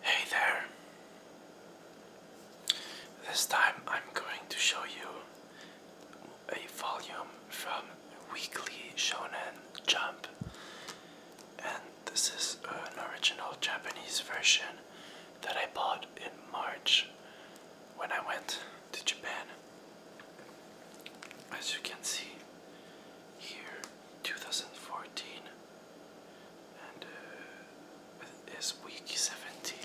Hey there! This time I'm going to show you a volume from Weekly Shonen Jump, and this is an original Japanese version that I bought in March when I went to Japan. As you can see, here 2014 and uh, it's week 17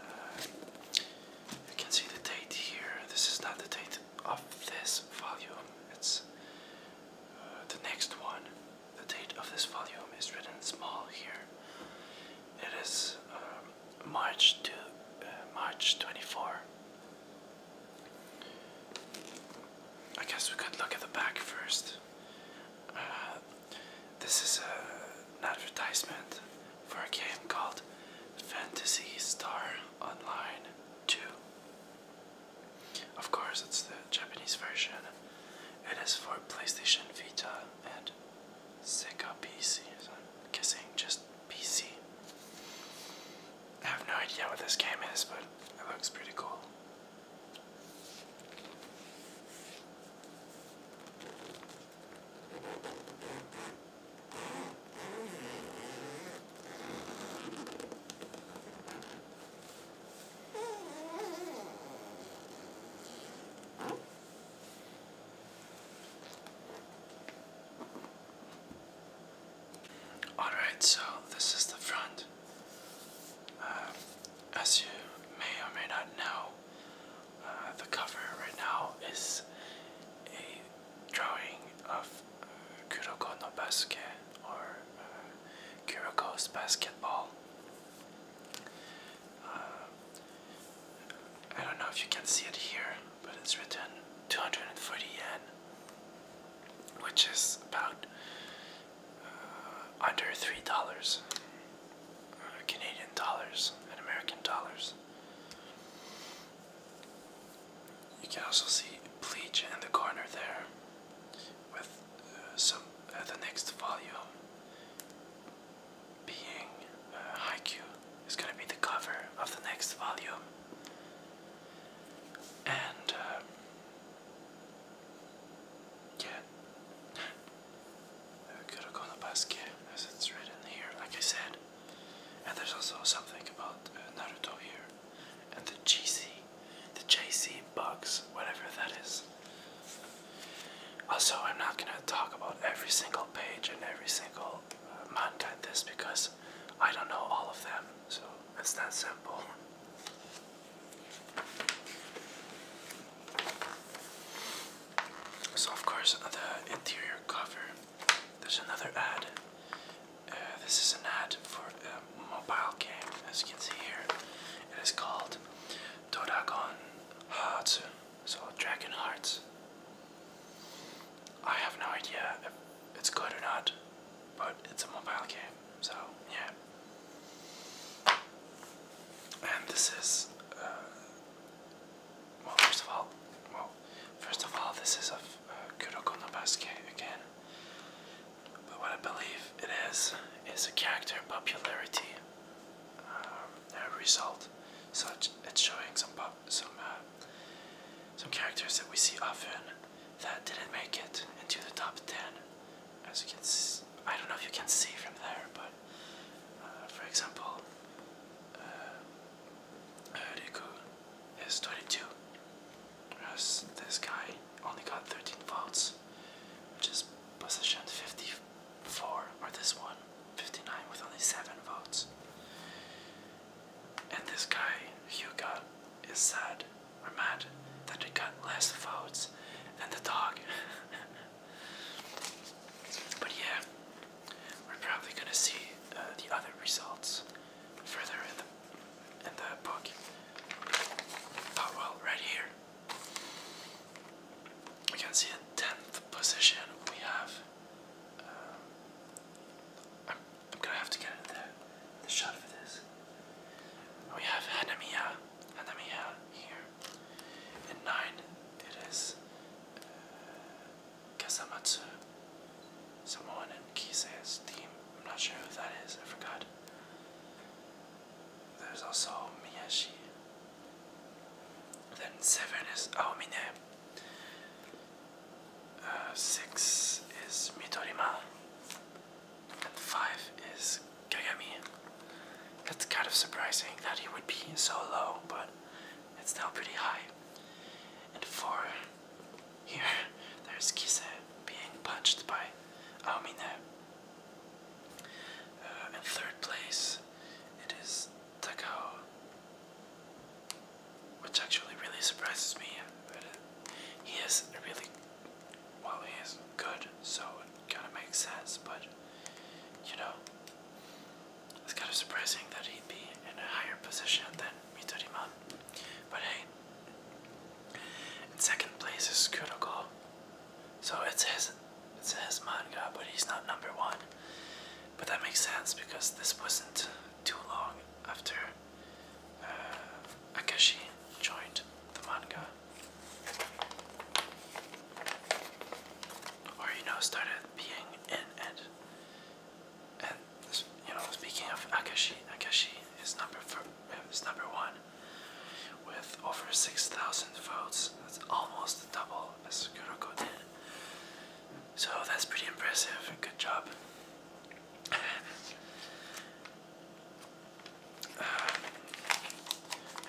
uh, you can see the date here this is not the date of this volume it's uh, the next one the date of this volume is written small here it is um, March to March 24 I guess we could look at the back first. Uh, this is an advertisement for a game called Fantasy Star Online 2. Of course, it's the Japanese version. It is for PlayStation Vita and Sega PC. I'm guessing just PC. I have no idea what this game is, but it looks pretty cool. Alright, so this is the front. Uh, as you may or may not know, uh, the cover right now is a drawing of uh, Kuroko no Basket or uh, Kuroko's basketball. Uh, I don't know if you can see it here, but it's written 240 yen which is about uh, under three dollars uh, Canadian dollars and American dollars. You can also see bleach in the corner there with uh, some the next volume being uh, haiku is going to be the cover of the next volume and yeah. I could have gone to basket as it's written here, like I said. And there's also something about uh, Naruto here. And the GC, the JC bugs, whatever that is. Also, I'm not gonna talk about every single page and every single uh, manga in this because I don't know all of them. So it's that simple. So of course the interior cover. There's another ad. Uh, this is an ad for a mobile game, as you can see here. It is called Doragon Hearts, so Dragon Hearts. I have no idea if it's good or not, but it's a mobile game. So yeah. And this is, uh, well, first of all, well, first of all, this is of uh, Kuroko no again. But what I believe it is is a character popularity um, result. So it's showing some pop, some uh, some characters that we see often that didn't make it into the top 10. As you can see, I don't know if you can see from there, but uh, for example, uh, uh is 22, this guy only got 13 votes, which is position 54, or this one, 59 with only 7 votes. And this guy, Hyuga, is sad are mad that they got less votes than the dog. but yeah, we're probably gonna see uh, the other results further in the in the book. Oh well, right here. We can see in tenth position we have. Uh, I'm gonna have to get in there. The shot for this. We have Hanamiya, Hanamiya here. And nine, it is uh, Kasamatsu, someone in Kise's team. I'm not sure who that is. I forgot. There's also Miyashi. Then seven is Aomine. Uh, six is Midorima. And five is Kagami. That's kind of surprising that he would be so low, but it's still pretty high. And four, here, there's Kise being punched by Aomine. Uh, in third place, it is Takao, which actually really surprises me. He is really, well, he is good, so it kind of makes sense, but you know, it's kind of surprising that he'd be in a higher position than Mitoriman. But hey, second place is Kuroko, so it's his, it's his manga, but he's not number one. But that makes sense because this wasn't too long after Akashi uh, joined the manga, or you know, started being in it. And you know, speaking of Akashi, Akashi is number four, is number one with over six thousand votes. That's almost double as Kuroko did. So that's pretty impressive. Good job. Uh,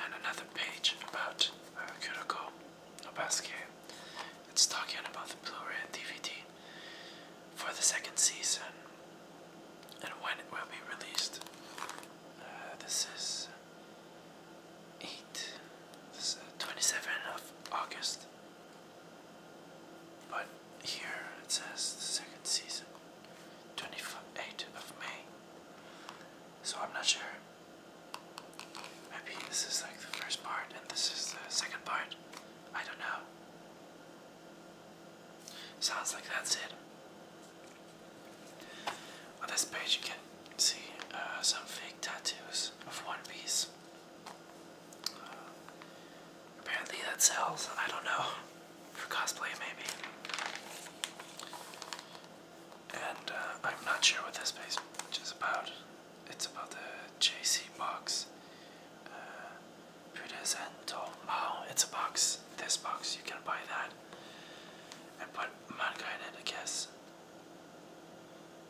and another page about uh, Kuroko It's talking about the Blu-ray DVD for the second season and when it will be released. Uh, this is eight. of August but here it says the second season, 28th of May. So I'm not sure. Maybe this is like the first part and this is the second part. I don't know. Sounds like that's it. On this page, you can see uh, some fake tattoos of One Piece. Apparently that sells. I don't know. For cosplay, maybe. And uh, I'm not sure what this page is about. It's about the JC box. Uh, Presento. Oh, it's a box. This box, you can buy that. And put manga in it, I guess.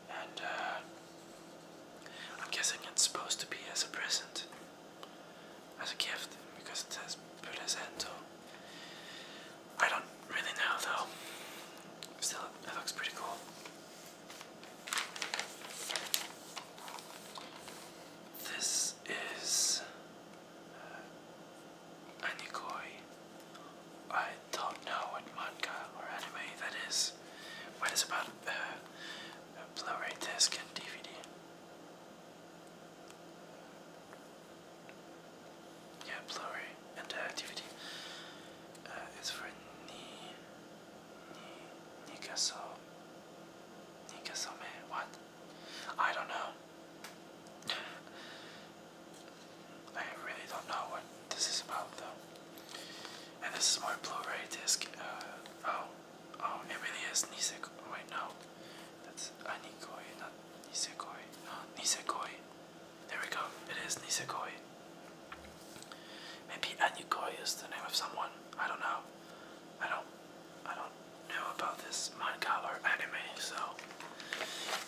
And uh, I'm guessing it's supposed to be as a present as a gift because it says Pulezento. I don't really know though. Still, it looks pretty cool. This is uh, Anikoi. I don't know what manga or anime that is, What is about uh, a Blu-ray disc and DVD. Yeah, Blu-ray and the activity uh, is for Ni Ni Nikaso Nikasome. What? I don't know. I really don't know what this is about though. And this is my Blu-ray disc. Uh, oh, Oh, it really is Nisekoi. Wait, no. That's Anikoi, not Nisekoi. Nisekoi. There we go. It is Nisekoi. Maybe Anikoi is the name of someone. I don't know. I don't. I don't know about this manga or anime, so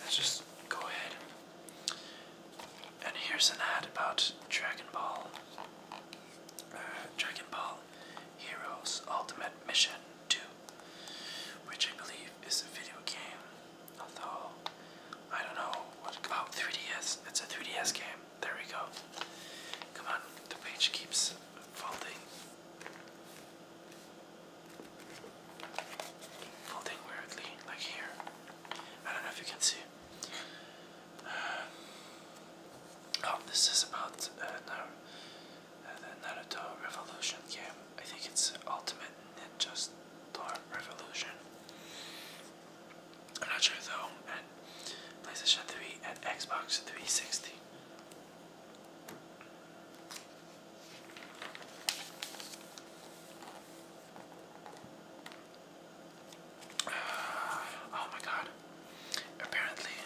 let's just go ahead. And here's an ad about Dragon Ball. Uh, Dragon Ball Heroes Ultimate Mission 2, which I believe is a video game, although I don't know what. Oh, 3DS. It's a 3DS game. There we go. Come on, the page keeps folding. Folding weirdly, like here. I don't know if you can see. Um, oh, this is about uh, uh, the Naruto Revolution game. I think it's Ultimate Ninja Storm Revolution. I'm not sure though. And PlayStation 3 and Xbox 360. Oh my god. Apparently,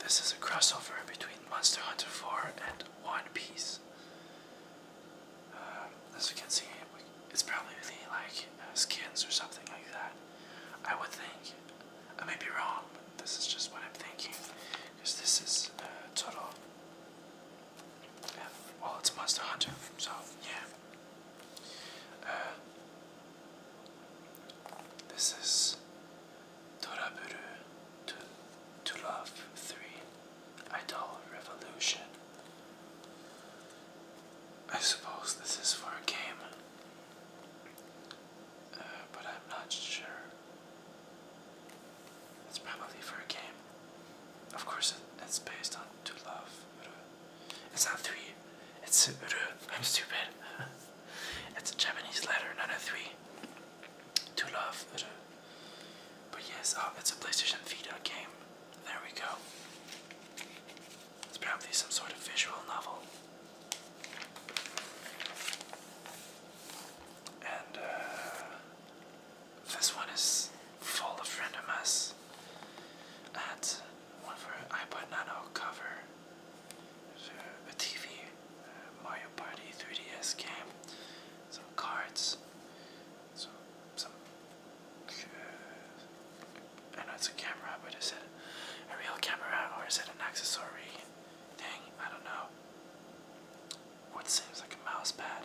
this is a crossover between Monster Hunter 4 and One Piece. Uh, as you can see, it's probably like skins or something like that. I would think. I may be wrong, but this is just what I'm thinking. Because this is uh, total. well, it's Monster Hunter, so yeah. Uh, this is Toraburu to, to Love 3 Idol Revolution. I suppose this is for a game, uh, but I'm not sure. It's probably for a game. Of course, it's based on To Love. It's not three. It's ru. I'm stupid. it's a Japanese letter, not a three. To love ru. But yes, oh, it's a PlayStation Vita game. There we go. It's probably some sort of visual novel. And uh, this one is full of randomness. mess. one for iPod Nano cover a TV, Mario Party 3DS game, some cards, some, some uh, I it's a camera, but is it a real camera or is it an accessory thing? I don't know. What seems like a mouse pad.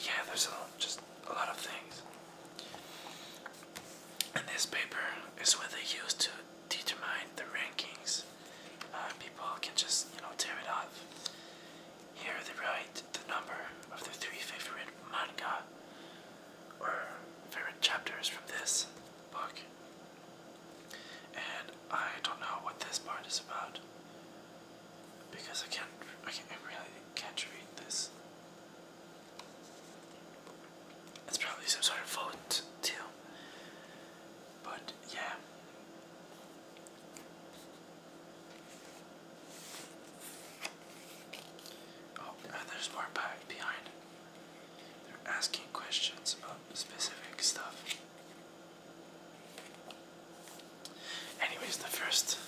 yeah, there's a, just a lot of things. And this paper is what they use to determine the rankings. Uh, people can just, you know, tear it off. Here they write the number of their three favorite manga or favorite chapters from this book. And I don't know what this part is about because I can't, I, can't, I really can't read this. It's probably some sort of vote too. But yeah. Oh, there's more back behind. They're asking questions about specific stuff. Anyways, the first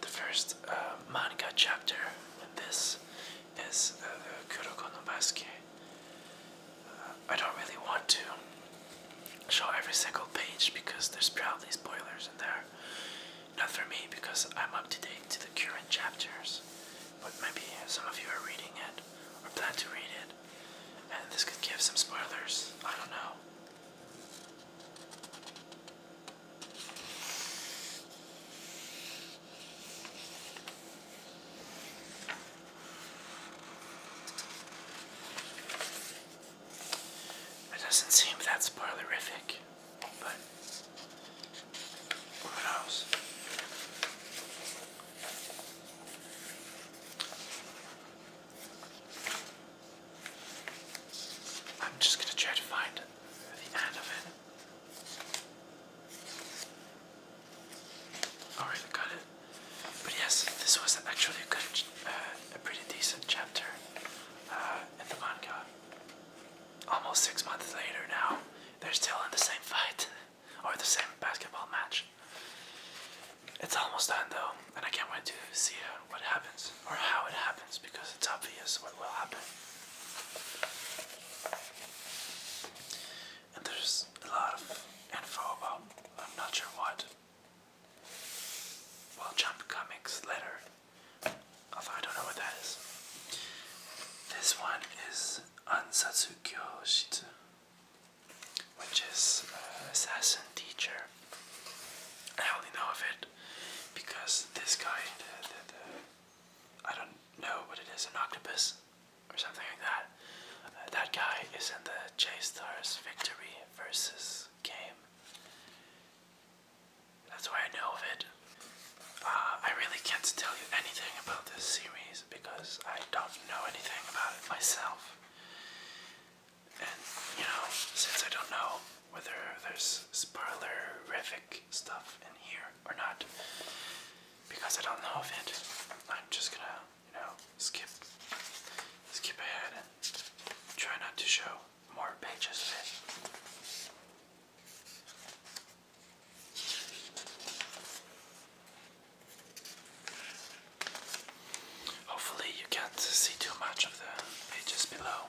the first uh, manga chapter in this is uh, the Kuroko uh, I don't really want to show every single page because there's probably spoilers in there. Not for me because I'm up to date to the current chapters, but maybe some of you are reading it or plan to read it, and this could give some spoilers. I don't know. It doesn't seem that spoilerific, but who knows? I'm just going to try to find the end of it. Alright, I got it. But yes, this was actually a good, uh, a pretty decent chapter uh, in the manga. Almost six months later now, they're still in the same fight, or the same basketball match. It's almost done though and I can't wait to see uh, what happens or how it happens because it's obvious what will happen. And there's a lot of info about I'm not sure what. Well, Jump Comics letter, although I don't know what that is. This one is Ansatsu Kyoshitsu, which is uh, assassin teacher. I only know of it because this guy, I don't know what it is, an octopus or something like that. Uh, that guy is in the J-Stars Victory versus game. That's why I know of it. Uh, I really can't tell you anything about this series because I don't know anything about it myself. And you know, since I don't know whether there's spoilerific stuff in here or not, because I don't know if it, I'm just gonna, you know, skip skip ahead and try not to show more pages Hopefully, you can't see too much of the pages below.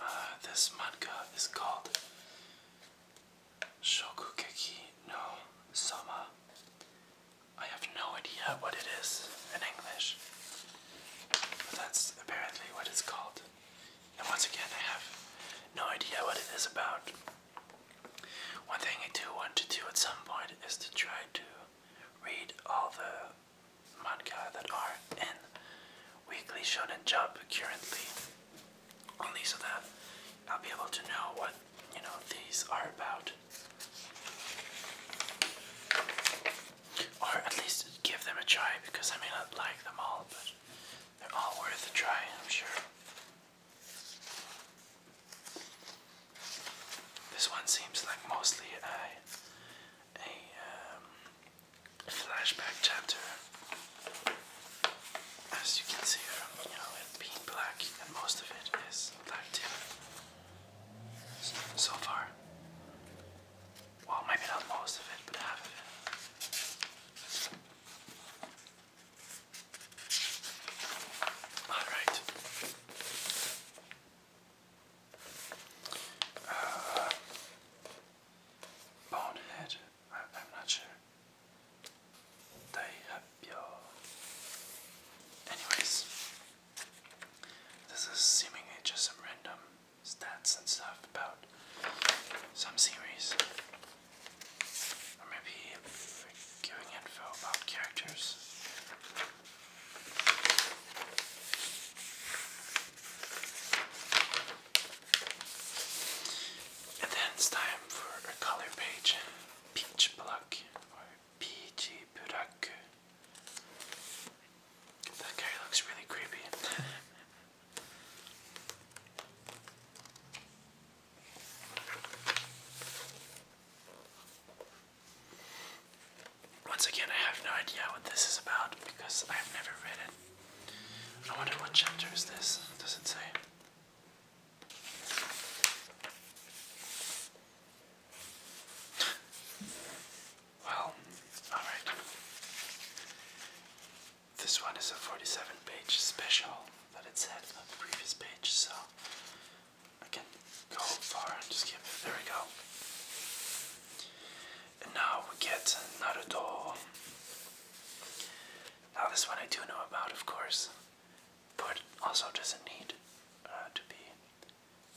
Uh, this manga is called Shokugeki no Sama. I have no idea what it is in English that's apparently what it's called. And once again, I have no idea what it is about. One thing I do want to do at some point is to try to read all the manga that are in Weekly Shonen Jump currently. Only so that I'll be able to know what, you know, these are about. Or at least give them a try because I may not like them all, but they're all worth a try, I'm sure. This one seems like mostly a, a um, flashback chapter. As you can see from uh, you know, it being black, and most of it is black tip so far. Well, maybe not most of it, Alright. Uh, bonehead? I, am not sure. Anyways, this is seeming just some random stats and stuff about some series. Or maybe giving info about characters. And then it's time for a color page. Peach Pluck or PG Puraku. That guy looks really creepy. Once again, I have no idea what this is about because I've never read it. I wonder what chapter is this? Does it say? Well, alright. This one is a 47 page special that it said on the previous page, so I can go far and just skip it. There we go. And now we get another doll. Now, this one I do know about, of course, but also doesn't need uh, to be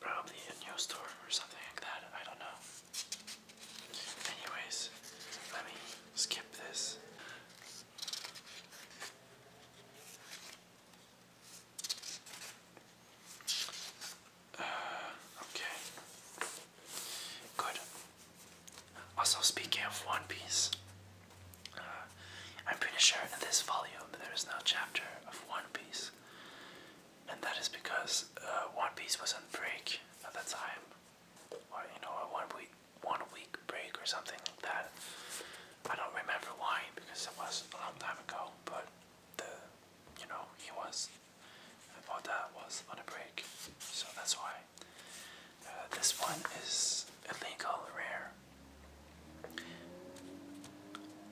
Probably a new store or something like that, I don't know. Anyways, let me skip this. Uh, okay. Good. Also, speaking of One Piece, uh, I'm pretty sure in this volume there is no chapter of One Piece and that is because uh, One Piece was on break at that time, or you know, a one week one week break or something like that. I don't remember why because it was a long time ago, but the you know he was about that was on a break, so that's why. Uh, this one is illegal rare.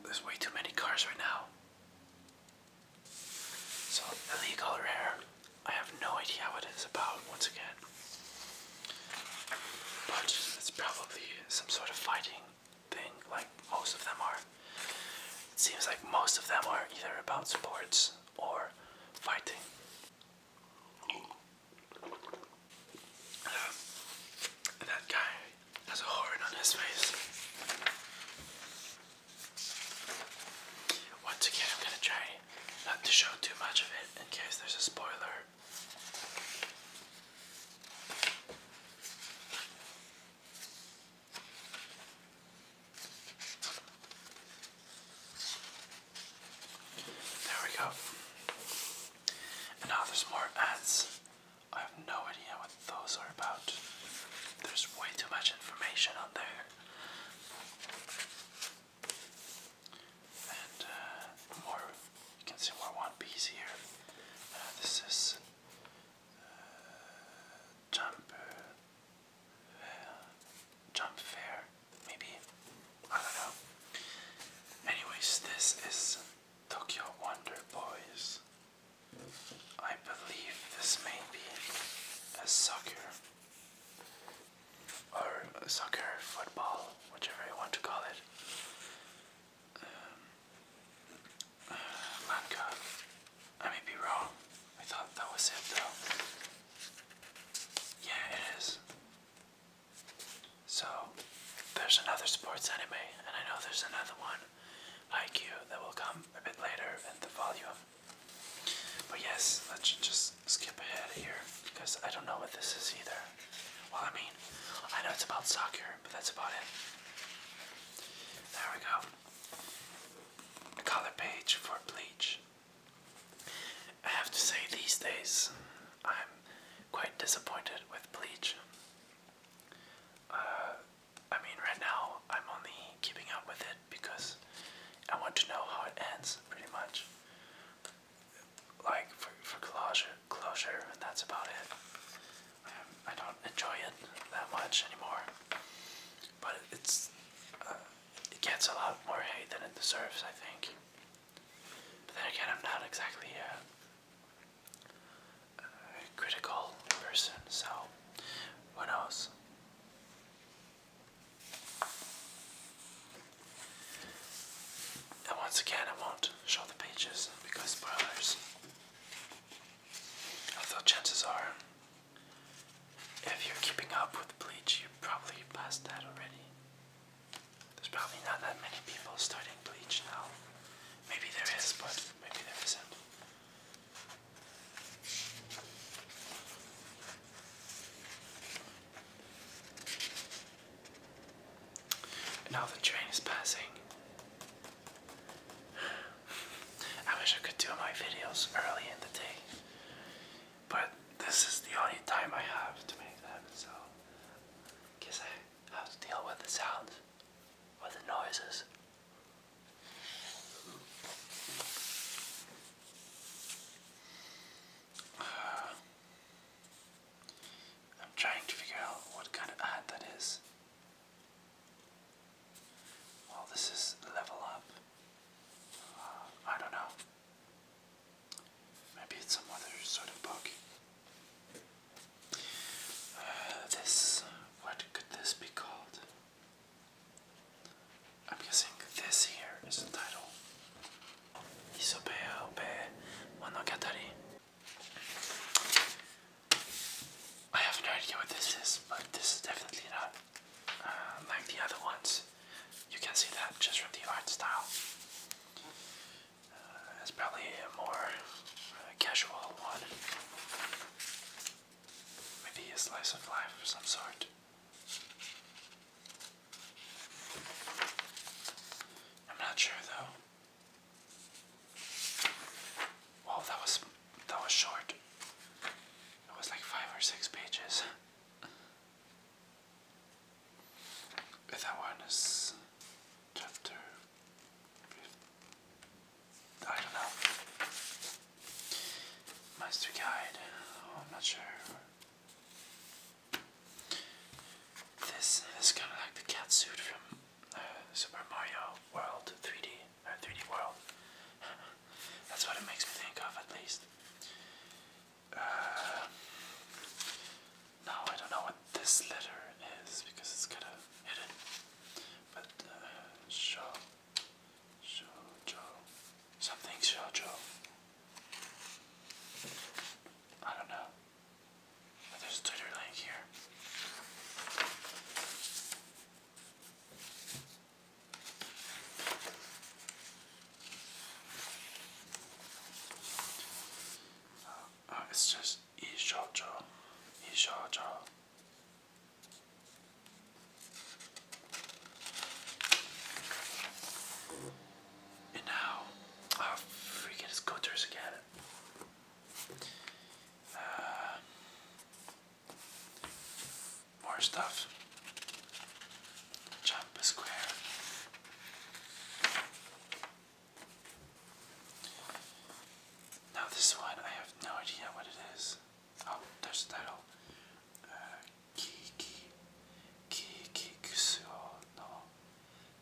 There's way too many cars right now. So, illegal rare. I have no idea what it's about, once again. But it's probably some sort of fighting thing, like most of them are. It seems like most of them are either about sports or fighting. that guy there's a horn on his face. Once again, I'm gonna try not to show too much of it in case there's a spoiler. There we go. And now there's more ads I have no idea what those are about. There's way too much information on there. And uh, more, you can see more One Piece here. Uh, this is uh, Jump, Jump Fair, maybe. I don't know. Anyways, this is Tokyo Wonder Boys. I believe this may be a soccer or a soccer football, whichever you want to call it. Um, uh, manga. I may be wrong. I thought that was it though. Yeah, it is. So, there's another sports anime, and I know there's another one. IQ that will come a bit later and the volume. But yes, let's just skip ahead here because I don't know what this is either. Well, I mean, I know it's about soccer, but that's about it. There we go. color page for bleach. I have to say, these days, I'm quite disappointed with bleach. Uh, I mean, right now I'm only keeping up with it because I want to know how it ends, pretty much. Like for for closure, closure, and that's about it. Um, I don't enjoy it that much anymore, but it's uh, it gets a lot more hate than it deserves, I think. But then again, I'm not exactly a critical person, so who knows? And once again, I won't show the pages because spoilers. Although, chances are, if you're keeping up with Bleach, you probably passed that already. There's probably not that many people starting Bleach now. Maybe there is, but maybe there isn't now the train is passing. I wish I could do my videos early in the day, but this is the only time I have to make them, so I guess I have to deal with the sounds, with the noises. I'm trying to figure out what kind of ad that is. Well, this is level up. Uh, I don't know. Maybe it's some other sort of book. this, what could this be called? I'm guessing this here is the title. Isobe Obe Monogatari. I have no idea what this is, but this is definitely not uh, like the other ones. You can see that just from the art style. Uh, it's probably a more uh, casual one. Maybe a slice of life of some sort. I'm not sure though. Well, that was that was short. It was like five or six pages. that one is chapter I don't know. Master guide. Oh, I'm not sure. This is kind of like the cat suit from uh, Super Mario World 3D or 3D World. That's what it makes me think of, at least. Uh, I don't know what this letter is because it's kind of hidden but uh, show, shoujo, something shoujo. I don't know. there's Twitter link here. Uh, uh it's just Ishoujo, Ishoujo. And now, oh freaking his gutters again. Uh, more stuff. Jump a square. Now this one, I have no idea what it is. Oh, there's the title. Kiki uh, Kiki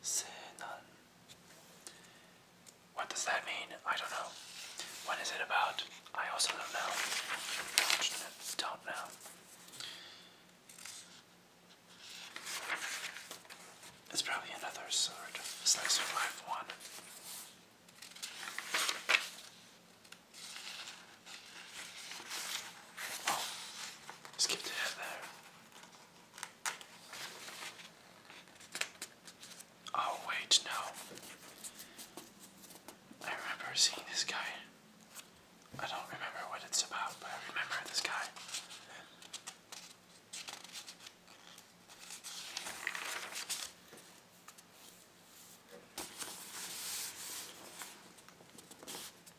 Senan. What does that mean? I don't know. What is it about? I also don't know. Don't know. It's probably another sort of slice of life one skip the there. Oh, wait, no. I remember seeing this guy. I don't remember what it's about, but I remember this guy.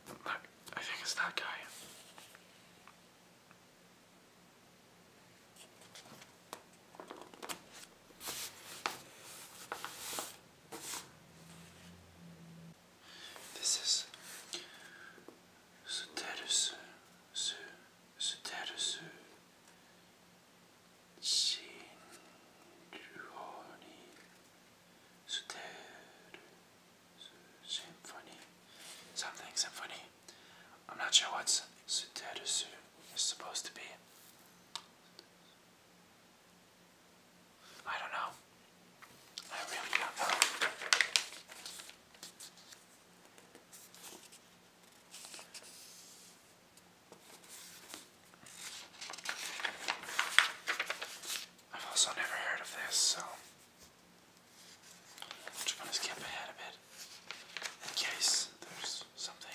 Look, I think it's that guy. This is Soterus Su ステルス真珠にステルス symphony something symphony I'm not sure what Suterusu is supposed to be I don't know I really don't know I've also never heard of this, so just gonna skip ahead a bit in case there's something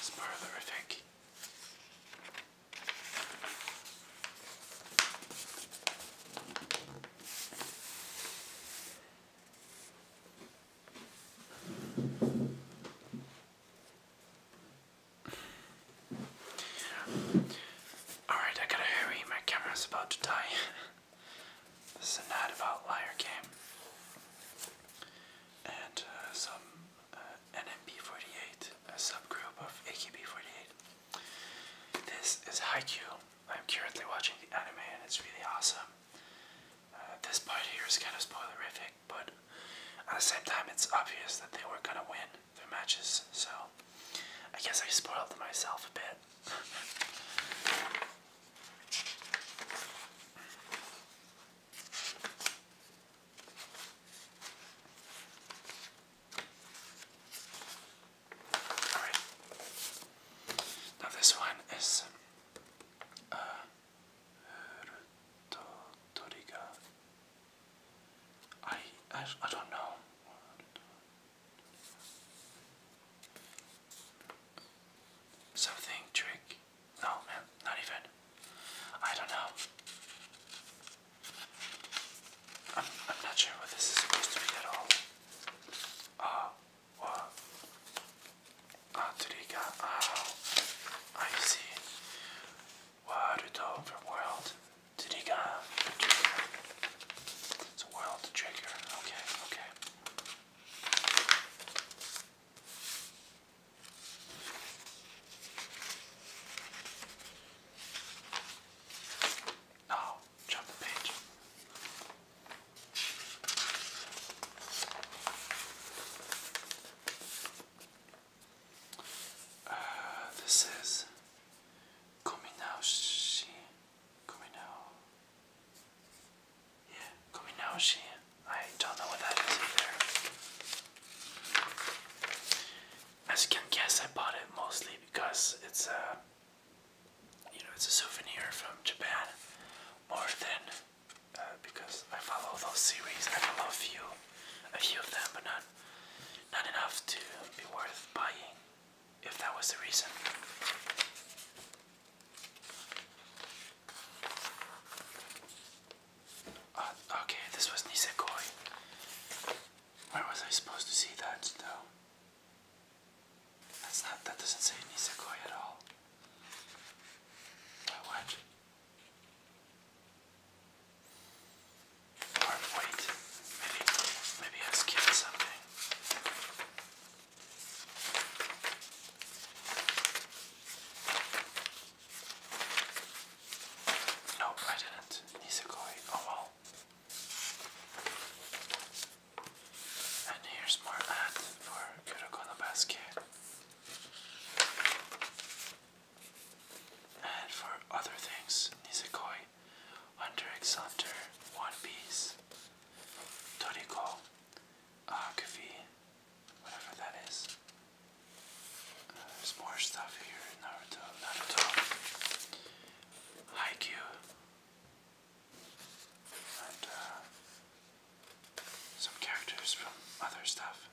spoiler, I think. Alright, I gotta hurry. My camera's about to die. this is an ad about liar game. And uh, some uh, NMB48, a subgroup of AKB48. This is Haikyuu. I'm currently watching the anime and it's really awesome. Uh, this part here is kind of spoilerific, but at the same time, it's obvious that they were not gonna win their matches, so I guess I spoiled myself a bit. Alright. Now, this one is I, don't know something trick no man not even I don't know I'm, not sure what this is supposed to be at all uh, はあ鳥があ I see ワールド from world 鳥が It's a world trigger okay okay now jump the page. Uh, this is Kominaoshi. Kominao. Yeah, Kominaoshi. I don't know what that is either. As you can guess, I bought it mostly because it's a uh, you know, it's a souvenir from Japan more than uh, because I follow those series. I follow a few, a few of them, but not not enough to be worth buying. If that was the reason. Uh, okay, this was Nisekoi. Where was I supposed to see that, though? That's not, that doesn't say Nisekoi at all. what? wait, maybe, maybe I skipped something. Nope, I didn't. Nisekoi, oh well. And here's more ad for Kuroko no Basket. And for other things, Nisekoi, Hunter x Hunter, One Piece, Toriko, Akafi, whatever that is. Uh, there's more stuff here, Naruto, Naruto, Haikyuu, uh, some characters from other stuff.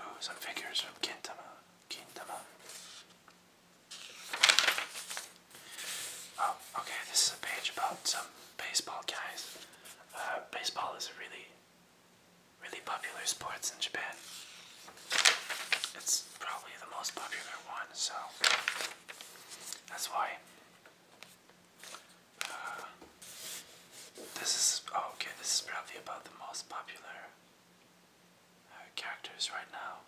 Oh, some figures from Kintama. Kintama. Oh, okay, this is a page about some baseball guys. Uh, baseball is a really, really popular sport in Japan. It's probably the most popular one, so that's why. Uh, this is oh, okay. This is probably about the most popular uh, characters right now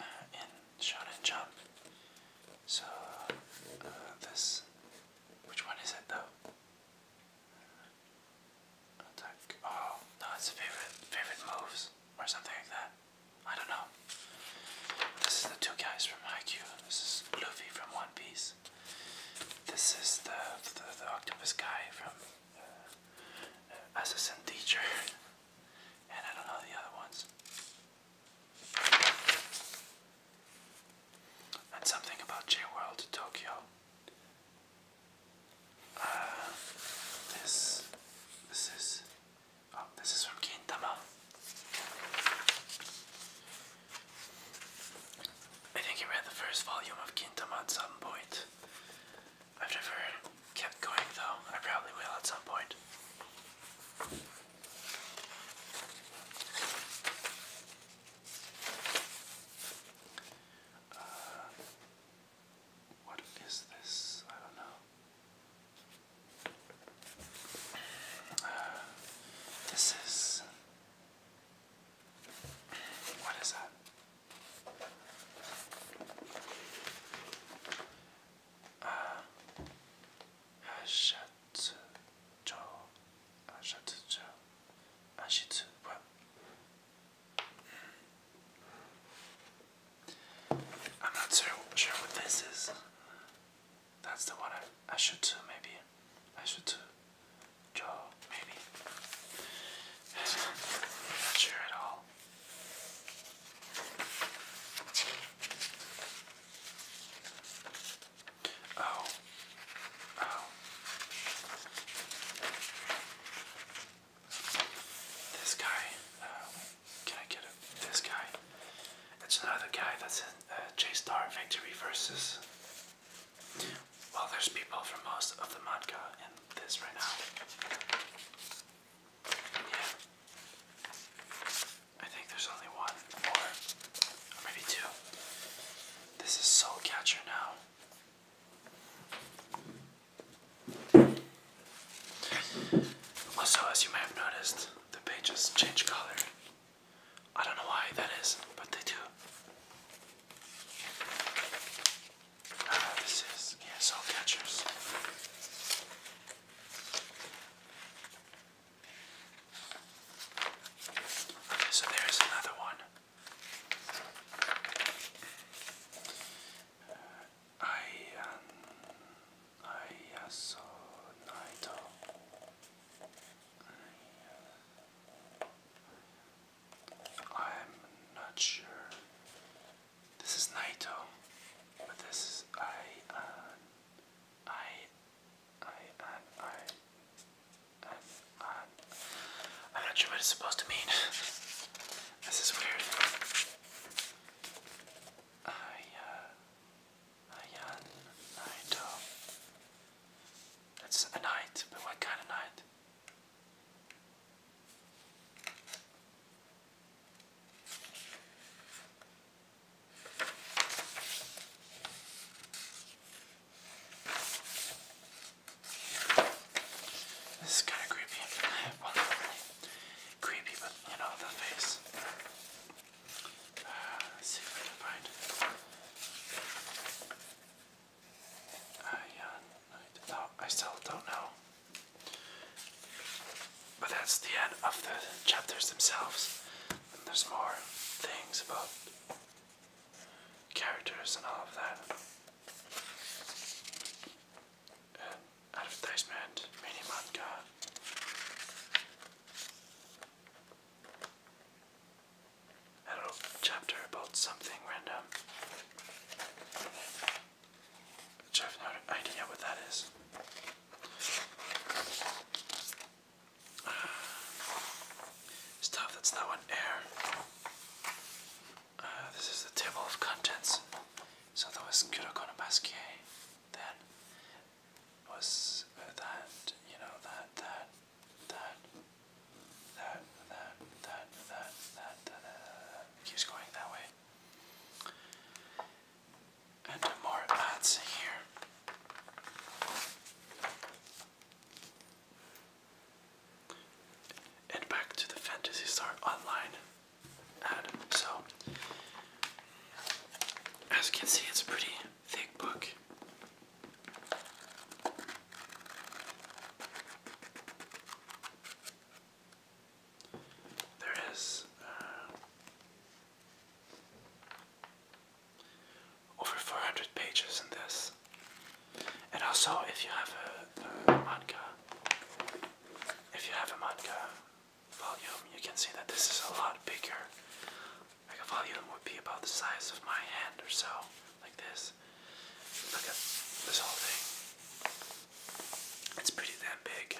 uh, in Shonen Jump. So this, which one is it though? Attack. Oh, no, it's favorite favorite moves or something like that. I don't know. This is the two guys from Haikyuu. This is Luffy from One Piece. This is the the, octopus guy from uh, uh Assassin Teacher, and I don't know the other ones. And something about J World Tokyo. Uh, this, this is, oh, this is from Gintama. I think he read the first volume of Kintama at some point. I've never kept going though. I probably will at some point. Uh, what is this? I don't know. Uh, this is. What is that? Uh, Ashitsu, Ashitsu, Ashitsu, I'm not so sure what this is. That's the one I, should do, maybe. I should do jaw, maybe. not sure at all. Oh, Oh. This guy. Uh, can I get this guy? It's another guy that's in uh, J Star Victory versus. Well, there's people from most of the manga in this right now. Yeah. I think there's only one more, or maybe two. This is Soul Catcher now. Also, as you may have noticed, the pages change color. I don't know why that is, but they do. Uh, this is, yeah, soul Okay, so there's another one. Ayan, ayaso naito. I'm not sure. This is Naito, but this is I, uh, I, I, I. I'm not sure what it's supposed to mean. this is weird. Ayan, Ayan, Naito. That's a knight, but what kind of knight? This is kind of creepy. creepy, but you know, the face. Uh, let's see if I can find it. Uh, yeah, no, oh, I still don't know. But that's the end of the chapters themselves. And there's more things about characters and all of that. Uh, advertisement, mini manga. A little chapter about something random. Which I have no idea what that is. Uh, stuff that's now on air. Uh, this is the table of contents. So there was Kurokono Basquiat, then was uh, that, you know, that, that, that, that, that, that, that, that, that, that, keeps going that way. And more ads here. And back to the Fantasy Star Online So, as you can see, it's a pretty thick book. There is uh, over 400 pages in this. And also, if you have a, manga, if you have a manga volume, you can see that this is a lot bigger. Like a volume would be about the size of my hand or so, like this. Look at this whole thing. It's pretty damn big.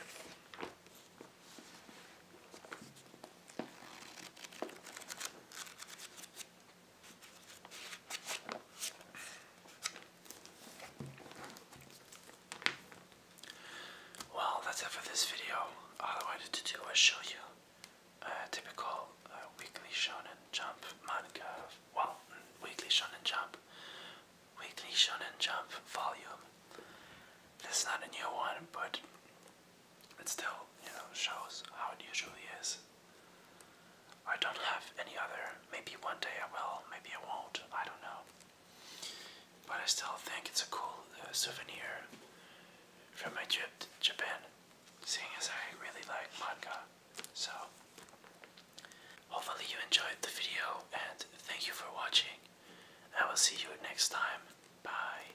Well, that's it for this video. All I wanted to do was show you a typical uh, weekly shonen jump manga. Well, weekly shonen jump. Weekly shonen jump volume. This is not a new one, but it still, you know, shows how it usually is. I don't have any other. Maybe one day I will, maybe I won't, I don't know. But I still think it's a cool uh, souvenir from my trip to Japan, seeing as I really like manga. So, hopefully, you enjoyed the video and thank you for watching. I will see you next time. Bye.